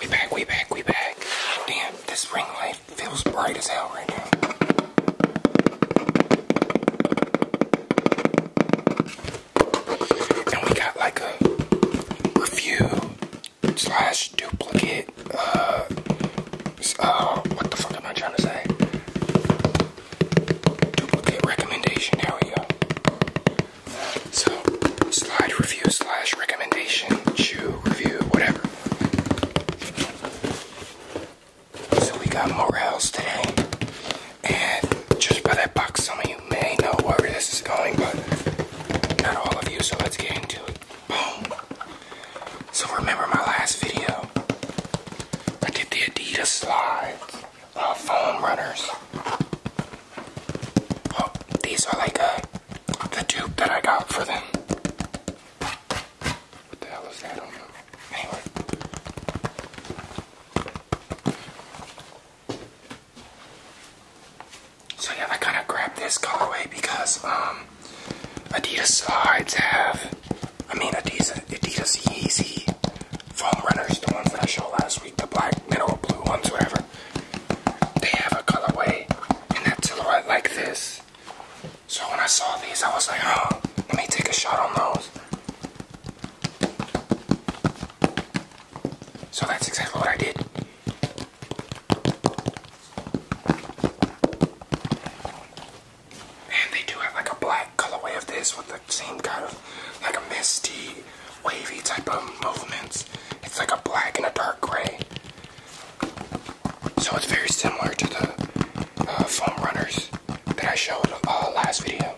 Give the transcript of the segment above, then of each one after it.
We back, we back, we back. Damn, this ring light feels bright as hell right now. And we got like a review slash duplicate, uh, uh, what the fuck am I trying to say? Duplicate recommendation, there we go. So, slide review slash recommendation, chew review, whatever. So we got Morels today, and just by that box, some of you may know where this is going, but not all of you. So let's get into it. Boom. So remember my last video? I did the Adidas slides, uh, foam runners. Oh, these are like uh, the tube that I got for them. What the hell is that? I don't know. Anyway. So yeah, I kind of grabbed this colorway because um, Adidas sides have, I mean Adidas, Adidas Yeezy foam runners, the ones that I showed last week, the black, middle, blue ones, whatever they have a colorway in that silhouette like this. So when I saw these, I was like, oh, let me take a shot on those. So that's exactly what I did. And they do have like a black colorway of this with the same kind of like a misty, wavy type of movements. It's like a black and a dark gray. So it's very similar to the uh, foam runners that I showed uh, last video.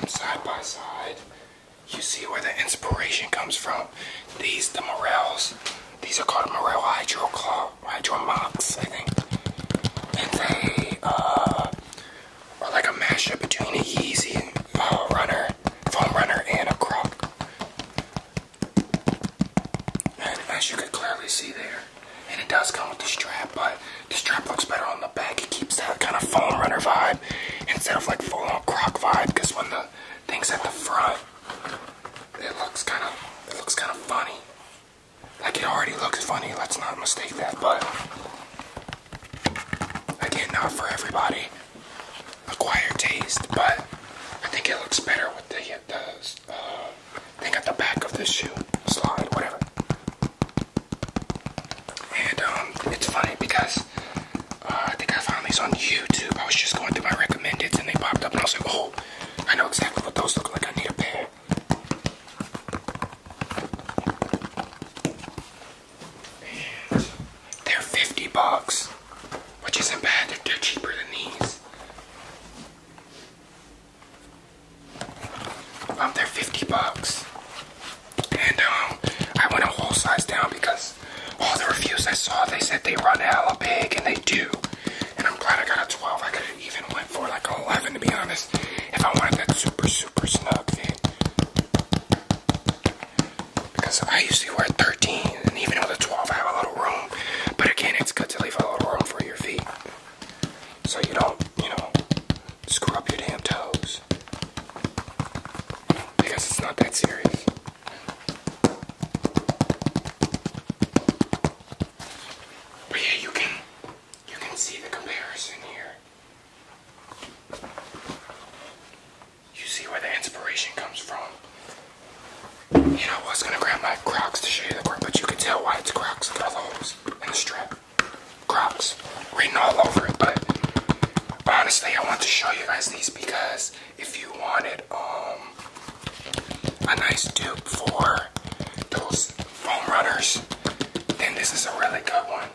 And side by side, you see where the inspiration comes from. These, the Morels, these are called Morel Hydro Hydro Mox, I think. it's a uh, are like a mashup between a Yeezy uh, runner, foam runner, and a croc. And as you can clearly see there, and it does come with the strap, but the strap looks better on the back. It keeps that kind of foam runner vibe instead of like full on croc vibe. Because when the thing's at the front, it looks kind of it looks kind of funny. Like it already looks funny, let's not mistake that, but again, not for everybody. Acquired taste, but I think it looks better with the, uh, the uh, They got the back of the shoe slide, whatever. And um, it's funny because uh, I think I found these on YouTube. I was just going through my recommendeds and they popped up, and I was like, oh, I know exactly what those look like. I need a pair. And they're 50 bucks, which isn't bad. They're, cheaper than these. Um, they're 50 bucks. And um, I went a whole size down because all the reviews I saw, they said they run hell hella big, and they do. And I'm glad I got a 12. I could have even went for like 11 to be honest. If I wanted that super, super snug fit. Because I usually wear 13. And even with a 12, I have a little room. But again, it's good to leave a little room for your feet. So you don't, you know, screw up your damn toes. Because it's not that serious. But yeah, you can you can see the comparison here. You see where the inspiration comes from. You know, I was gonna grab my Crocs to show you the Crocs, but you can tell why it's Crocs. Look the holes in the strap. Crocs written all over it, but honestly, I want to show you guys these because if you wanted um a nice tube for those foam runners, then this is a really good one.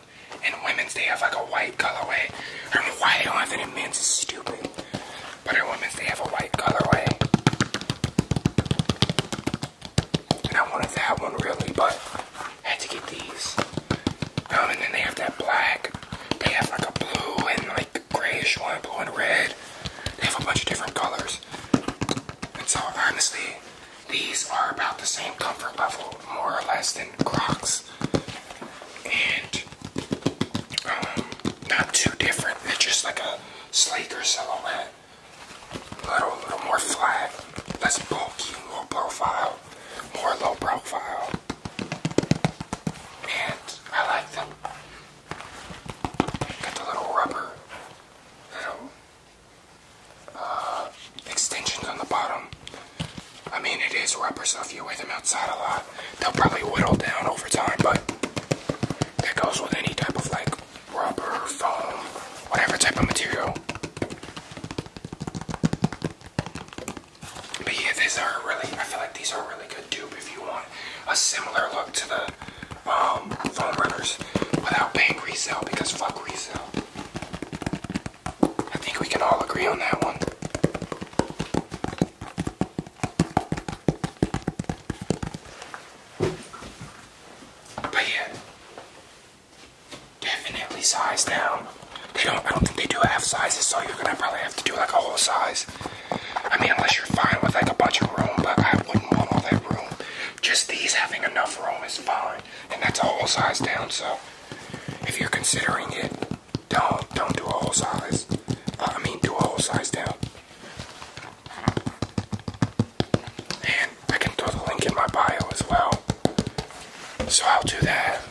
And women's they have like a white colorway. I don't know why they don't have it in men's, it's stupid. But in women's they have a white colorway. And I wanted that one really, but I had to get these. Um, and then they have that black. They have like a blue and like grayish one, blue and red. They have a bunch of different colors. And so honestly, these are about the same comfort level, more or less, than Crocs. And um, not too different. It's just like a sleeker silhouette. A little, little more flat, less bulky, low profile, more low profile and I like them. Got the little rubber little uh, extensions on the bottom. I mean, it is rubber, so if you wear them outside a lot, they'll probably whittle down over time, but that goes with any type of like rubber, foam, whatever type of material. But yeah, these are really, I feel like these are really good dupe if you want a similar look to the phone um, runners without paying resale because fuck resale. I think we can all agree on that one. But yeah, definitely size down. They don't. I don't think they do half sizes, so you're gonna probably have to do like a whole size. I mean, unless you're fine with like a bunch of room, but I wouldn't want all that room. Just these having enough room is fine, and that's a whole size down. So, if you're considering it, don't don't do a whole size. Uh, I mean, do a whole size down. And I can throw the link in my bio as well. So I'll do that.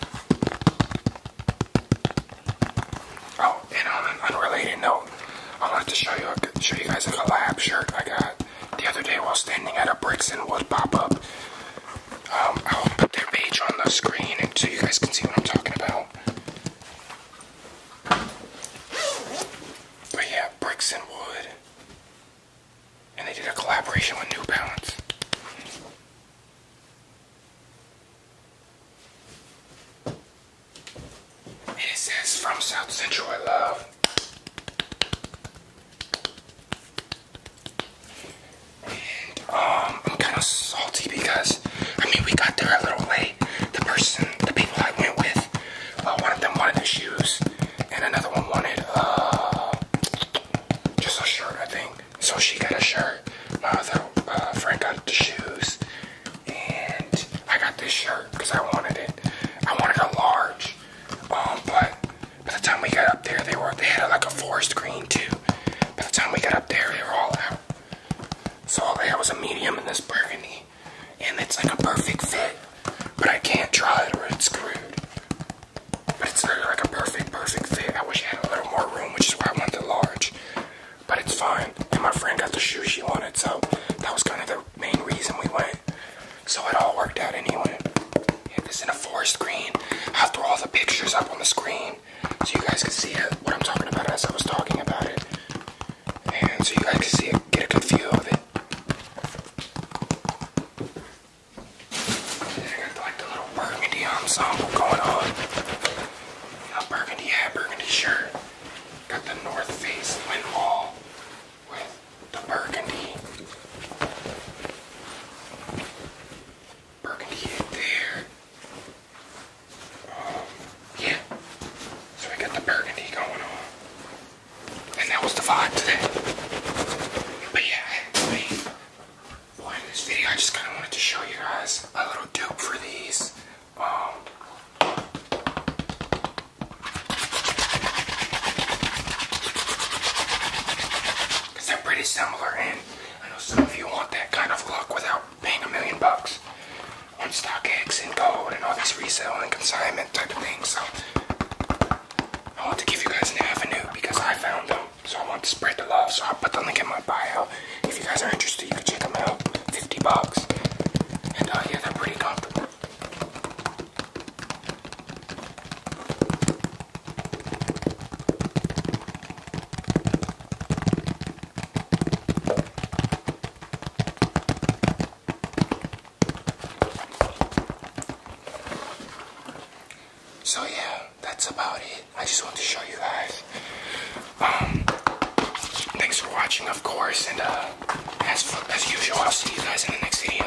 Oh, and on an unrelated note, I wanted to show you show you guys a collab shirt I got the other day while standing at a bricks and wood pop-up. Um, I'll put their page on the screen so you guys can see what I'm talking about. But yeah, bricks and wood, and they did a collaboration with New Balance. It says from South Central I love. um I'm kinda salty because I mean we got there a little late. The person the people I went with, uh, one of them wanted shoes and another one wanted uh just a shirt I think. So she got a shirt. My uh, other uh, friend got the shoes. And I got this shirt because I wanted it. I wanted a large. Um, but by the time we got up there, they were they had like a forest green too. By the time we got up there, they were all out. So all I had was a medium in this burgundy. And it's like a perfect fit. But I can't try it or it's screwed. But it's really like a perfect, perfect fit. I wish I had a little more room, which is why I went to large. But it's fine. And my friend got the shoes she wanted, so that was kind of the main reason we went. So it all worked out anyway. Yeah, this in a forest green. I'll throw all the pictures up on the screen so you guys can see what I'm talking about as I was talking about it. And so you guys can see it, get a good view of it. I got like the little burgundy ensemble um, going on. A burgundy hat, burgundy shirt. Got the North Face wind Wall with the burgundy. Burgundy in there. Um, yeah. So we got the burgundy going on. And that was the vibe today. But yeah, I mean, boy, in this video, I just kind of wanted to show you guys a little dupe for these. Um, because they're pretty similar, and I know some of you want that kind of look without paying a million bucks stock eggs and gold and all these resale and consignment type of things. So I want to give you guys an avenue because I found them. So I want to spread the love. So I'll put the link in my bio. If you guys are interested, you can check them out. 50 bucks. And uh, yeah, they're pretty comfortable. So yeah, that's about it. I just want to show you guys. Um, thanks for watching, of course, and uh, as as usual, I'll see you guys in the next video.